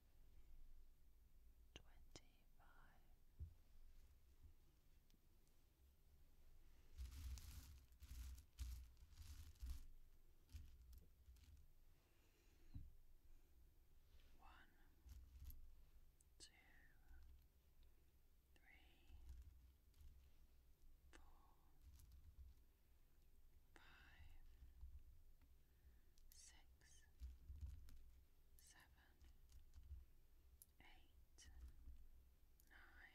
twenty five. One, two, three, four, five, six, seven, eight, nine, ten. One,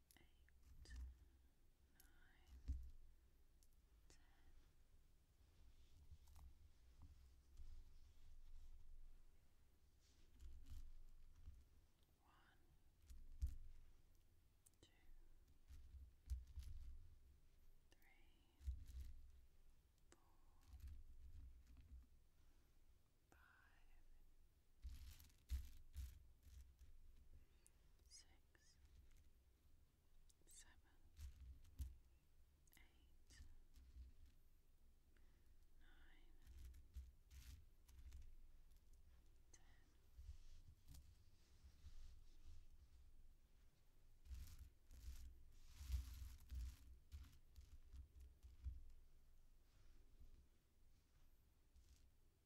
eight, nine, ten. One, two, three, four, five, six, seven, eight, nine, ten. Eleven,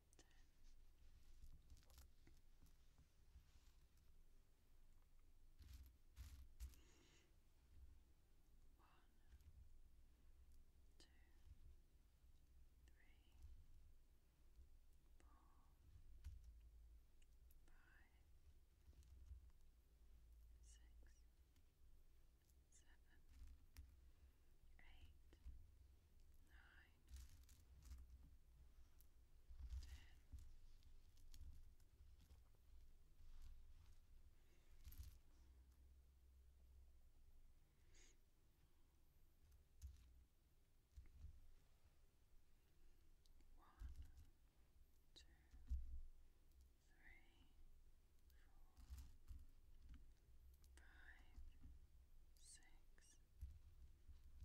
ten. One, two, three, four, five, six, seven, eight, nine, ten, one, two, three, four, five, six, seven, eight, nine, ten. Eleven,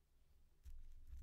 seven, eight, nine, ten. Eleven,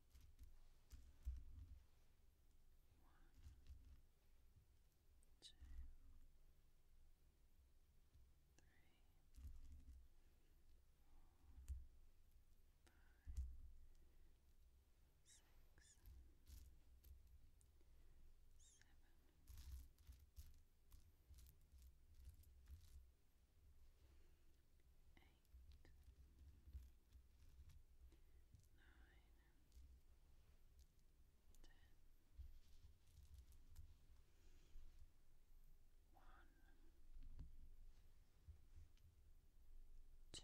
One, two, three, four, five, six, seven. Eight, eight, nine, ten, one, two, three, four, five.